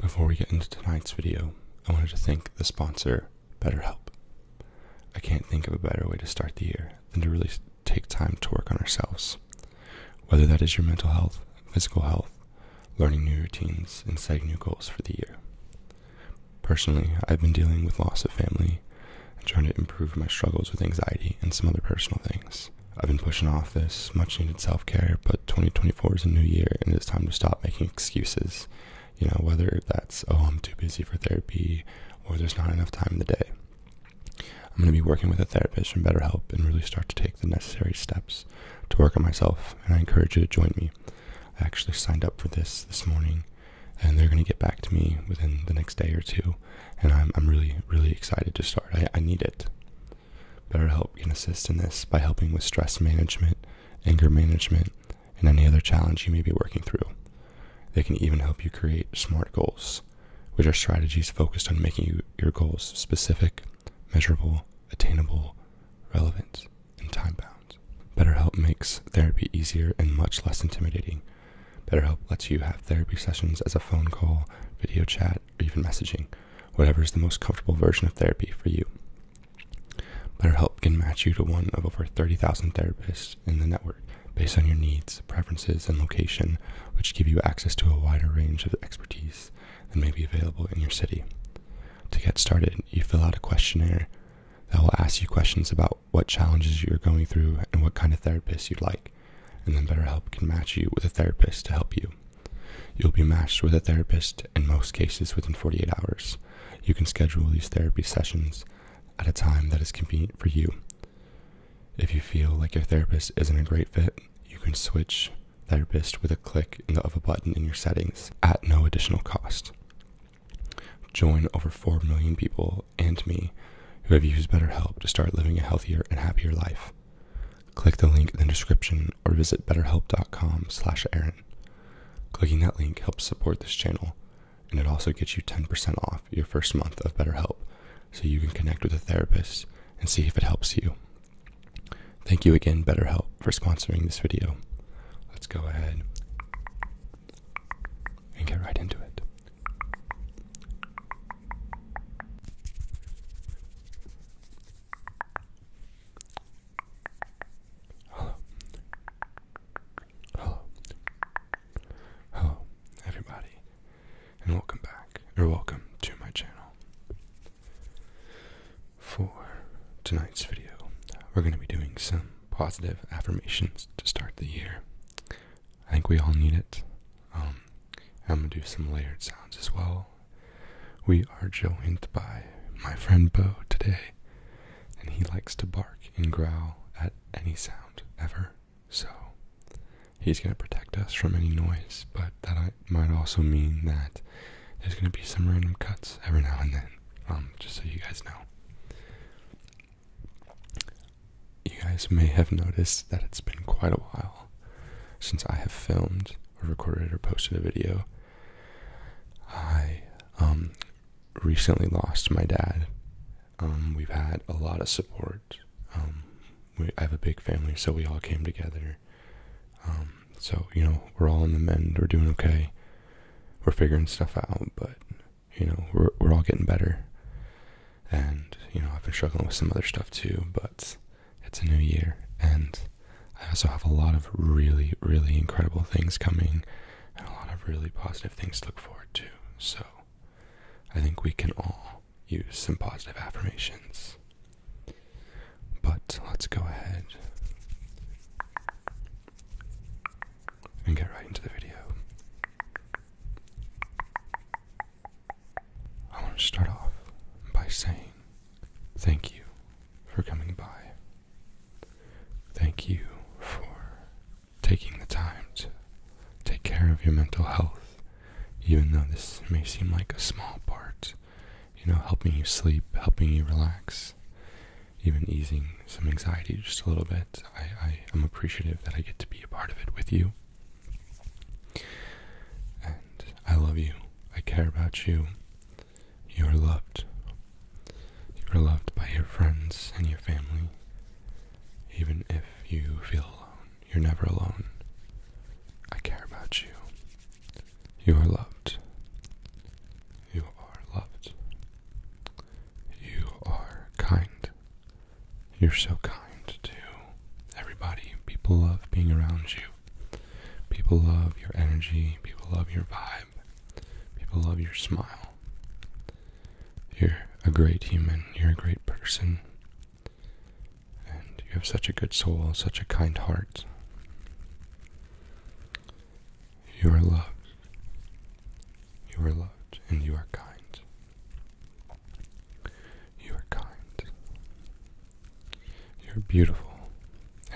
Before we get into tonight's video, I wanted to thank the sponsor, BetterHelp. I can't think of a better way to start the year than to really take time to work on ourselves. Whether that is your mental health, physical health, learning new routines, and setting new goals for the year. Personally, I've been dealing with loss of family and trying to improve my struggles with anxiety and some other personal things. I've been pushing off this much needed self care, but but 2024 is a new year and it's time to stop making excuses. You know, whether that's, oh, I'm too busy for therapy or there's not enough time in the day. I'm going to be working with a therapist from BetterHelp and really start to take the necessary steps to work on myself. And I encourage you to join me. I actually signed up for this this morning and they're going to get back to me within the next day or two. And I'm, I'm really, really excited to start. I, I need it. BetterHelp can assist in this by helping with stress management, anger management, and any other challenge you may be working through. They can even help you create SMART goals, which are strategies focused on making your goals specific, measurable, attainable, relevant, and time bound. BetterHelp makes therapy easier and much less intimidating. BetterHelp lets you have therapy sessions as a phone call, video chat, or even messaging, whatever is the most comfortable version of therapy for you. BetterHelp can match you to one of over 30,000 therapists in the network based on your needs, preferences, and location, which give you access to a wider range of expertise than may be available in your city. To get started, you fill out a questionnaire that will ask you questions about what challenges you're going through and what kind of therapist you'd like, and then BetterHelp can match you with a therapist to help you. You'll be matched with a therapist in most cases within 48 hours. You can schedule these therapy sessions at a time that is convenient for you. If you feel like your therapist isn't a great fit, you can switch therapist with a click of a button in your settings at no additional cost. Join over 4 million people and me who have used BetterHelp to start living a healthier and happier life. Click the link in the description or visit betterhelp.com slash Aaron. Clicking that link helps support this channel, and it also gets you 10% off your first month of BetterHelp so you can connect with a therapist and see if it helps you. Thank you again, BetterHelp, for sponsoring this video. Let's go ahead and get right into it. Hello. Hello. Hello, everybody, and welcome back, or welcome to my channel. For tonight's video, we're going to be doing some positive affirmations to start the year. I think we all need it. Um, I'm going to do some layered sounds as well. We are joined by my friend Bo today, and he likes to bark and growl at any sound ever, so he's going to protect us from any noise, but that might also mean that there's going to be some random cuts every now and then, um, just so you guys know. You guys may have noticed that it's been quite a while since I have filmed or recorded or posted a video I um, recently lost my dad. Um, we've had a lot of support. Um, we, I have a big family, so we all came together. Um, so, you know, we're all in the mend. We're doing okay. We're figuring stuff out, but, you know, we're, we're all getting better. And, you know, I've been struggling with some other stuff too, but it's a new year. And I also have a lot of really, really incredible things coming and a lot of really positive things to look forward to. So I think we can all use some positive affirmations. But let's go ahead and get right into the video. I want to start off by saying Thank you for coming by. Thank you for taking the time to take care of your mental health, even though this may seem like a small part. You know, helping you sleep, helping you relax, even easing some anxiety just a little bit. I, am appreciative that I get to be a part of it with you. And I love you. I care about you. You are loved. You are loved by your friends and your family. Even if you feel alone, you're never alone. I care about you. You are loved. You are loved. You are kind. You're so kind to everybody. People love being around you. People love your energy. People love your vibe. People love your smile. You're a great human. You're a great person. And you have such a good soul, such a kind heart. You are loved. You are loved and you are kind. You are kind. You're beautiful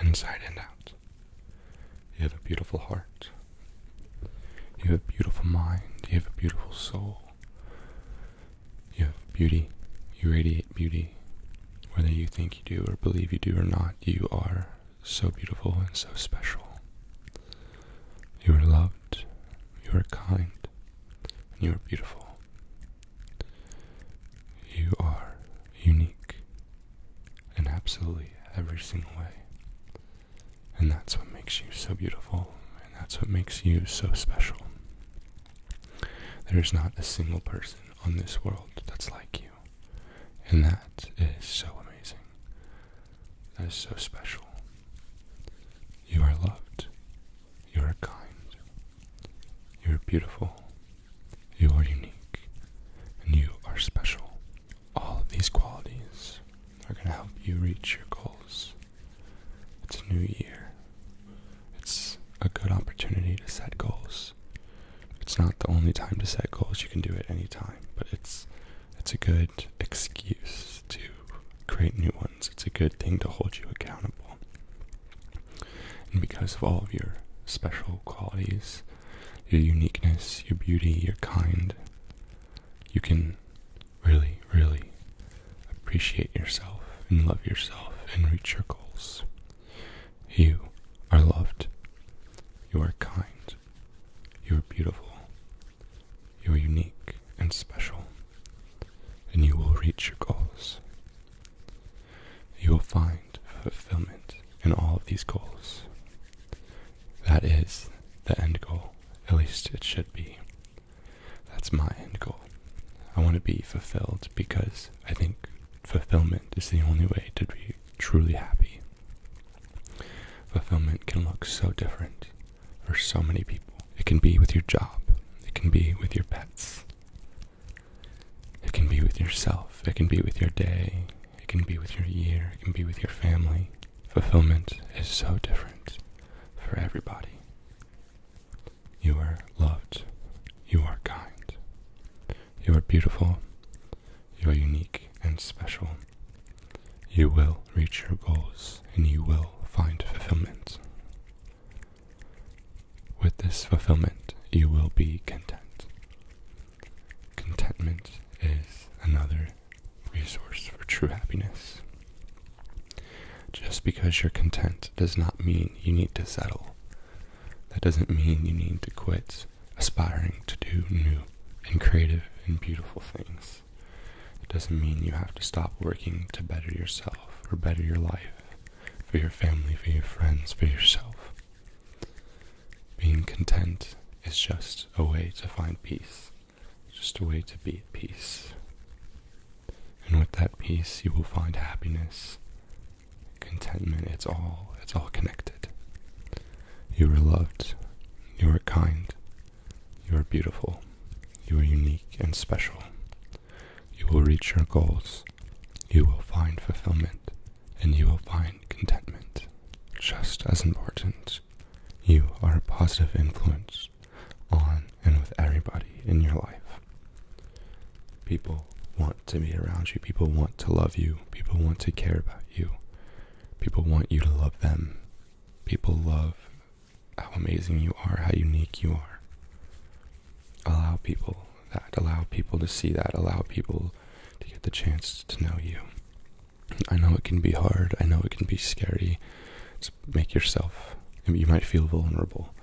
inside and out. You have a beautiful heart. You have a beautiful mind. You have a beautiful soul. You have beauty. You radiate beauty. Whether you think you do or believe you do or not, you are so beautiful and so special. You are loved. You are kind. you are beautiful. You are unique in absolutely every single way. And that's what makes you so beautiful, and that's what makes you so special. There is not a single person on this world that's like you, and that is so amazing. That is so special. You are loved, you are kind, you are beautiful, you are unique and you are special. All of these qualities are going to help you reach your goals. It's a new year. It's a good opportunity to set goals. It's not the only time to set goals. You can do it any time, but it's it's a good excuse to create new ones. It's a good thing to hold you accountable. And because of all of your special qualities, your uniqueness, your beauty, your kind. You can really, really appreciate yourself and love yourself and reach your goals. You are loved. You are kind. You are beautiful. You are unique and special. And you will reach your goals you will find fulfillment in all of these goals. That is the end goal. At least it should be. That's my end goal. I want to be fulfilled because I think fulfillment is the only way to be truly happy. Fulfillment can look so different for so many people. It can be with your job, it can be with your pets, it can be with yourself, it can be with your day, it can be with your year, it can be with your family. Fulfillment is so different for everybody. You are loved, you are kind, you are beautiful, you are unique and special. You will reach your goals and you will find fulfillment. With this fulfillment, you will be content. Contentment is another resource for true happiness. Just because you're content does not mean you need to settle. That doesn't mean you need to quit aspiring to do new and creative and beautiful things. It doesn't mean you have to stop working to better yourself or better your life, for your family, for your friends, for yourself. Being content is just a way to find peace, just a way to be at peace. And with that peace, you will find happiness, contentment. It's all, it's all connected. You are loved, you are kind, you are beautiful, you are unique and special. You will reach your goals, you will find fulfillment and you will find contentment. Just as important, you are a positive influence on and with everybody in your life. People want to be around you, people want to love you, people want to care about you, people want you to love them. People love how amazing you are, how unique you are. Allow people that, allow people to see that, allow people to get the chance to know you. I know it can be hard, I know it can be scary. make yourself you might feel vulnerable,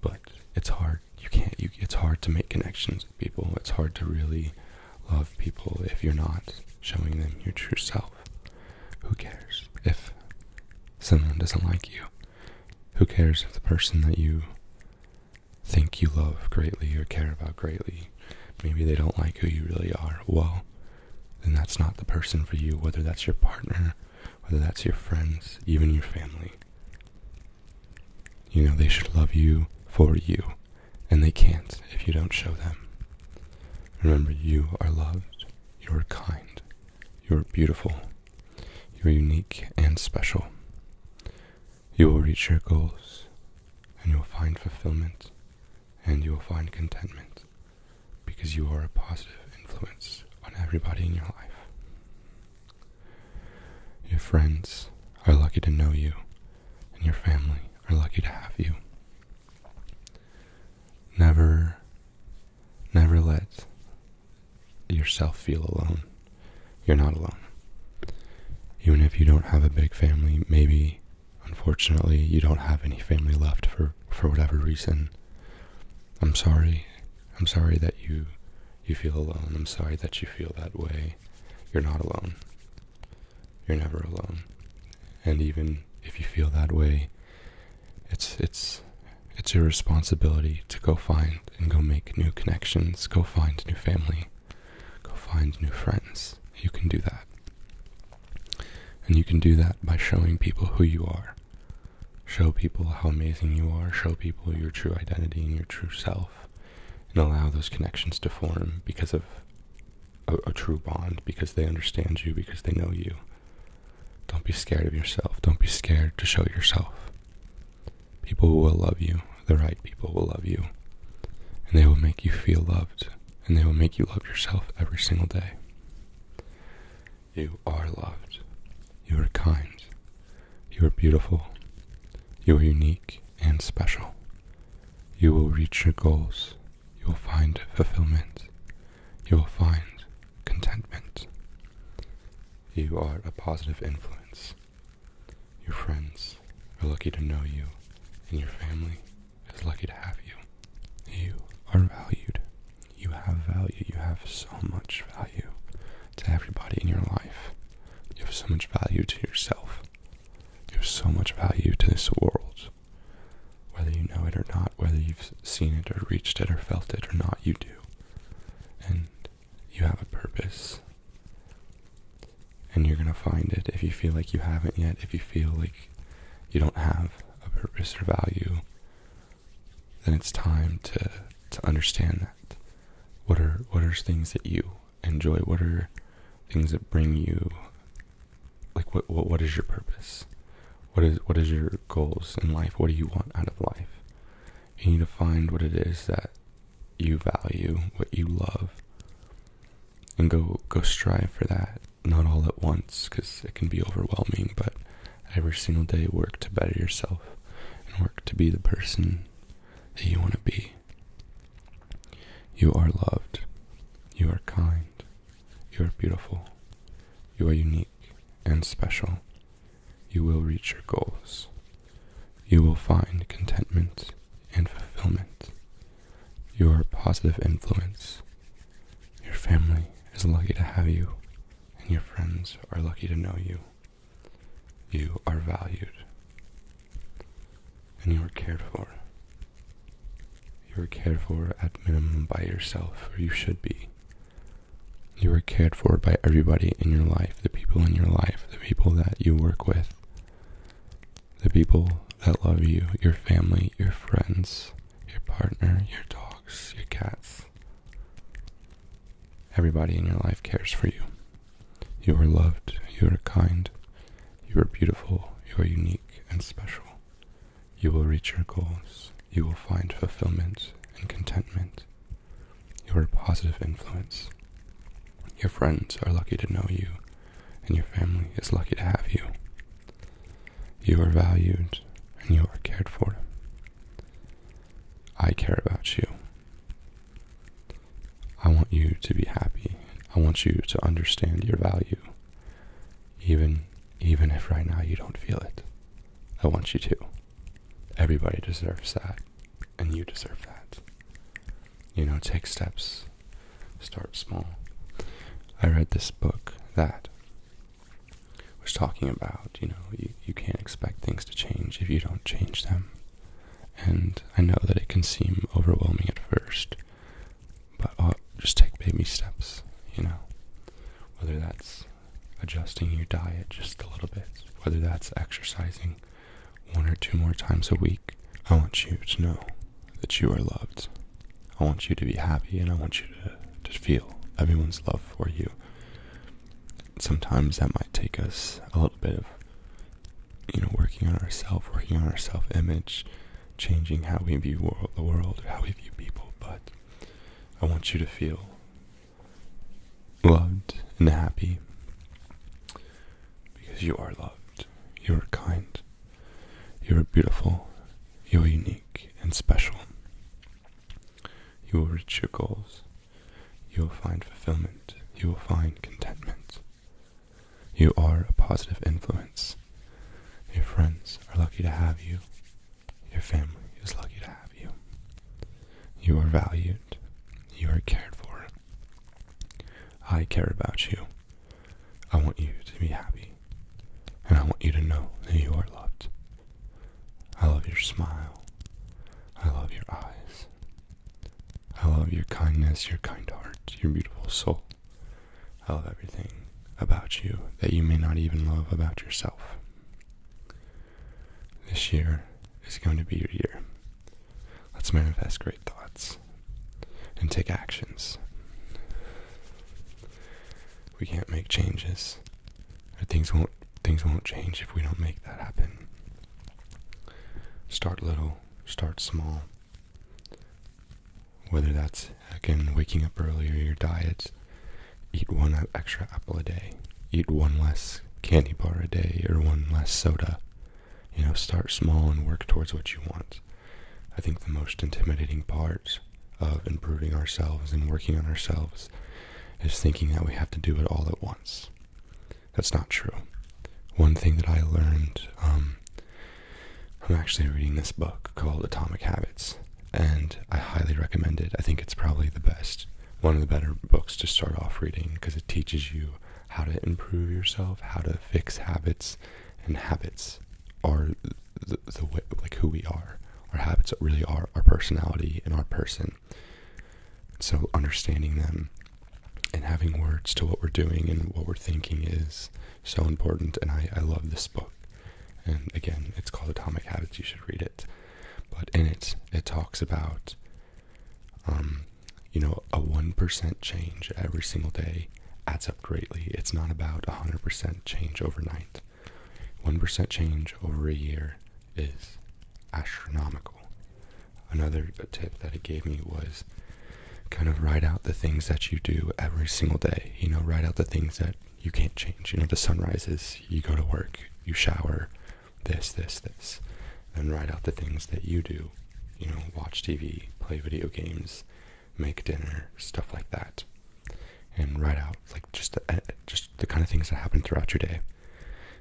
but it's hard. You can't you it's hard to make connections with people. It's hard to really love people if you're not showing them your true self. Who cares if someone doesn't like you? Who cares if the person that you think you love greatly or care about greatly, maybe they don't like who you really are. Well, then that's not the person for you, whether that's your partner, whether that's your friends, even your family. You know, they should love you for you, and they can't if you don't show them. Remember, you are loved, you are kind, you are beautiful, you are unique and special you will reach your goals and you will find fulfillment and you will find contentment because you are a positive influence on everybody in your life. Your friends are lucky to know you and your family are lucky to have you. Never, never let yourself feel alone. You're not alone. Even if you don't have a big family, maybe unfortunately you don't have any family left for, for whatever reason. I'm sorry. I'm sorry that you you feel alone. I'm sorry that you feel that way. You're not alone. You're never alone. And even if you feel that way, it's it's it's your responsibility to go find and go make new connections, go find new family go find new friends. You can do that. And you can do that by showing people who you are. Show people how amazing you are, show people your true identity and your true self, and allow those connections to form because of a, a true bond, because they understand you, because they know you. Don't be scared of yourself. Don't be scared to show yourself. People will love you the right people will love you. And they will make you feel loved. And they will make you love yourself every single day. You are loved. You are kind. You are beautiful. You are unique and special. You will reach your goals. You will find fulfillment. You will find contentment. You are a positive influence. Your friends are lucky to know you, and your family is lucky to have you. You are valued. You have value. You have so much value to everybody in your life. You have so much value to yourself. You have so much value to this world. Whether you know it or not, whether you've seen it or reached it or felt it or not, you do. And you have a purpose and you're going to find it if you feel like you haven't yet, if you feel like you don't have a purpose or value, then it's time to to understand that. What are what are things that you enjoy? What are things that bring you like what what is your purpose? What is what is your goals in life? What do you want out of life? You need to find what it is that you value, what you love, and go go strive for that. Not all at once, because it can be overwhelming. But every single day, work to better yourself and work to be the person that you want to be. You are loved. You are kind. You are beautiful. You are unique and special. You will reach your goals. You will find contentment and fulfillment your positive influence. Your family is lucky to have you, and your friends are lucky to know you. You are valued, and you are cared for. You are cared for at minimum by yourself, or you should be. You are cared for by everybody in your life, the people in your life, the people that you work with the people that love you, your family, your friends, your partner, your dogs, your cats. Everybody in your life cares for you. You are loved, you are kind, you are beautiful, you are unique and special. You will reach your goals, you will find fulfillment and contentment. You are a positive influence. Your friends are lucky to know you and your family is lucky to have you. You are valued and you are cared for. I care about you. I want you to be happy. I want you to understand your value. Even even if right now you don't feel it. I want you to. Everybody deserves that, and you deserve that you know, take steps, start small. I read this book that was talking about, you know, you, you can't expect things to change if you don't change them. And I know that it can seem overwhelming at first, but i just take baby steps, you know. Whether that's adjusting your diet just a little bit, whether that's exercising one or two more times a week, I want you to know that you are loved. I want you to be happy and I want you to, to feel everyone's love for you. Sometimes that might take us a little bit of, you know, working on ourself, working on our self image, changing how we view the world or how we view people, but I want you to feel loved and happy because you are loved, you are kind, you are beautiful, you are unique and special. You will reach your goals, you will find fulfillment, you will find contentment. You are a positive influence. Your friends are lucky to have you. Your family is lucky to have you. You are valued. You are cared for. I care about you. I want you to be happy. And I want you to know that you are loved. I love your smile. I love your eyes. I love your kindness, your kind heart, your beautiful soul. I love everything about you that you may not even love about yourself. This year is going to be your year. Let's manifest great thoughts and take actions. We can't make changes. things won't things won't change if we don't make that happen. Start little, start small. Whether that's again waking up earlier, your diet, eat one extra apple a day, eat one less candy bar a day, or one less soda. You know, start small and work towards what you want. I think the most intimidating part of improving ourselves and working on ourselves is thinking that we have to do it all at once. That's not true. One thing that I learned, um, I'm actually reading this book called Atomic Habits, and I highly recommend it. I think it's probably the best, one of the better books to start off reading because it teaches you how to improve yourself, how to fix habits, and habits are the, way, like who we are. Our habits really are our personality and our person. So understanding them and having words to what we're doing and what we're thinking is so important. And I, I love this book. And again, it's called Atomic Habits. You should read it. But in it, it talks about um, you know, a 1% change every single day adds up greatly. It's not about 100% change overnight. 1% change over a year is astronomical. Another tip that he gave me was kind of write out the things that you do every single day. You know, write out the things that you can't change. You know, the sun rises, you go to work, you shower, this, this, this. And write out the things that you do. You know, watch TV, play video games, make dinner, stuff like that, and write out like just eh, just the kind of things that happen throughout your day,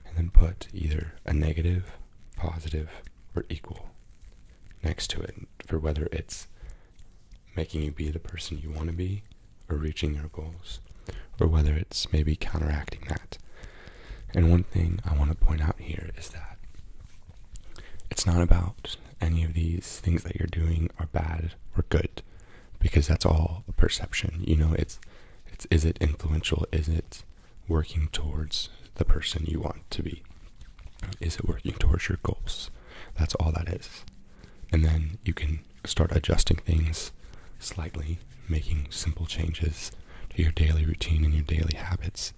and then put either a negative, positive, or equal next to it for whether it's making you be the person you want to be or reaching your goals, or whether it's maybe counteracting that. And one thing I want to point out here is that it's not about any of these things that you're doing are bad or good because that's all perception. You know, it's it's is it influential? Is it working towards the person you want to be? Is it working towards your goals? That's all that is. And then you can start adjusting things slightly, making simple changes to your daily routine and your daily habits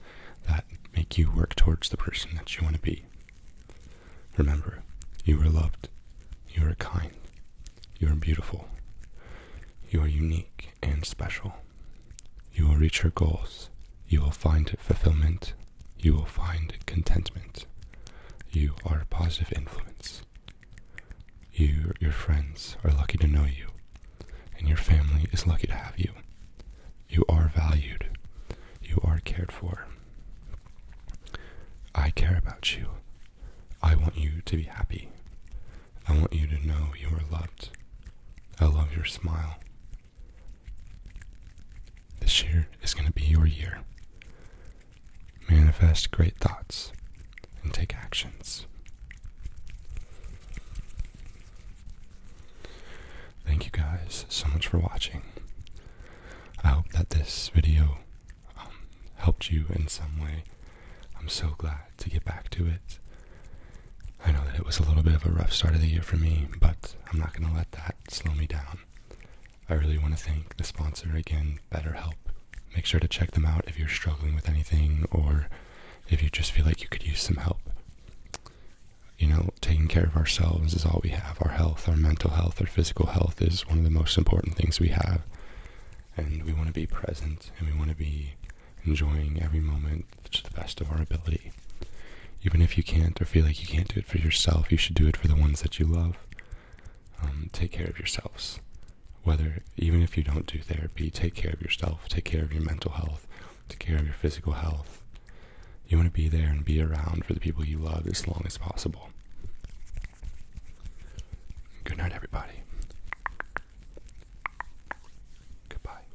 that make you work towards the person that you want to be. Remember, you are loved, you are kind, you are beautiful, you are unique and special. You will reach your goals, you will find fulfillment, you will find contentment. You are a positive influence. You, your friends, are lucky to know you, and your family is lucky to have you. You are valued. You are cared for. I care about you. I want you to be happy. I want you to know you are loved. I love your smile. This year is going to be your year. Manifest great thoughts and take actions. Thank you guys so much for watching. I hope that this video um, helped you in some way. I'm so glad to get back to it. I know that it was a little bit of a rough start of the year for me, but I'm not going to let that slow me down. I really want to thank the sponsor again, BetterHelp. Make sure to check them out if you're struggling with anything or if you just feel like you could use some help you know, taking care of ourselves is all we have. Our health, our mental health, our physical health is one of the most important things we have. And we want to be present and we want to be enjoying every moment to the best of our ability. Even if you can't or feel like you can't do it for yourself, you should do it for the ones that you love. Um, take care of yourselves. Whether, even if you don't do therapy, take care of yourself, take care of your mental health, Take care of your physical health. You want to be there and be around for the people you love as long as possible. Good night, everybody. Goodbye.